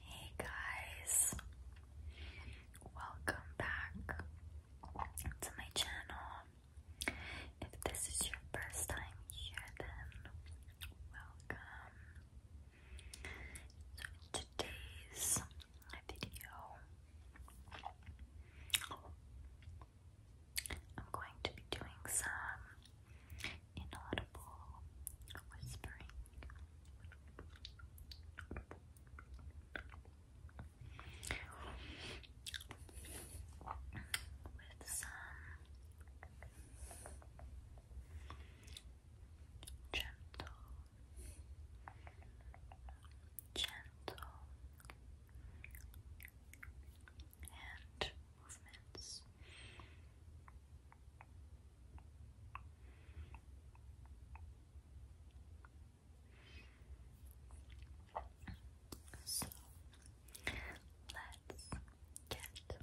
Hey guys, welcome back to my channel. If this is your first time here, then welcome. So in today's video, I'm going to be doing some inaudible whispering. With some gentle, gentle, and movements. So let's get started.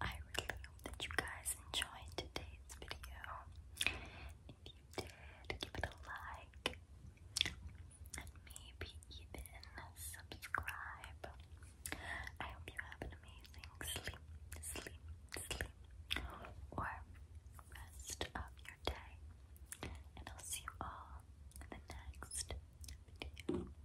I really hope that you guys enjoyed today's video. If you did, give it a like and maybe even subscribe. I hope you have an amazing sleep, sleep, sleep, or rest of your day. And I'll see you all in the next video.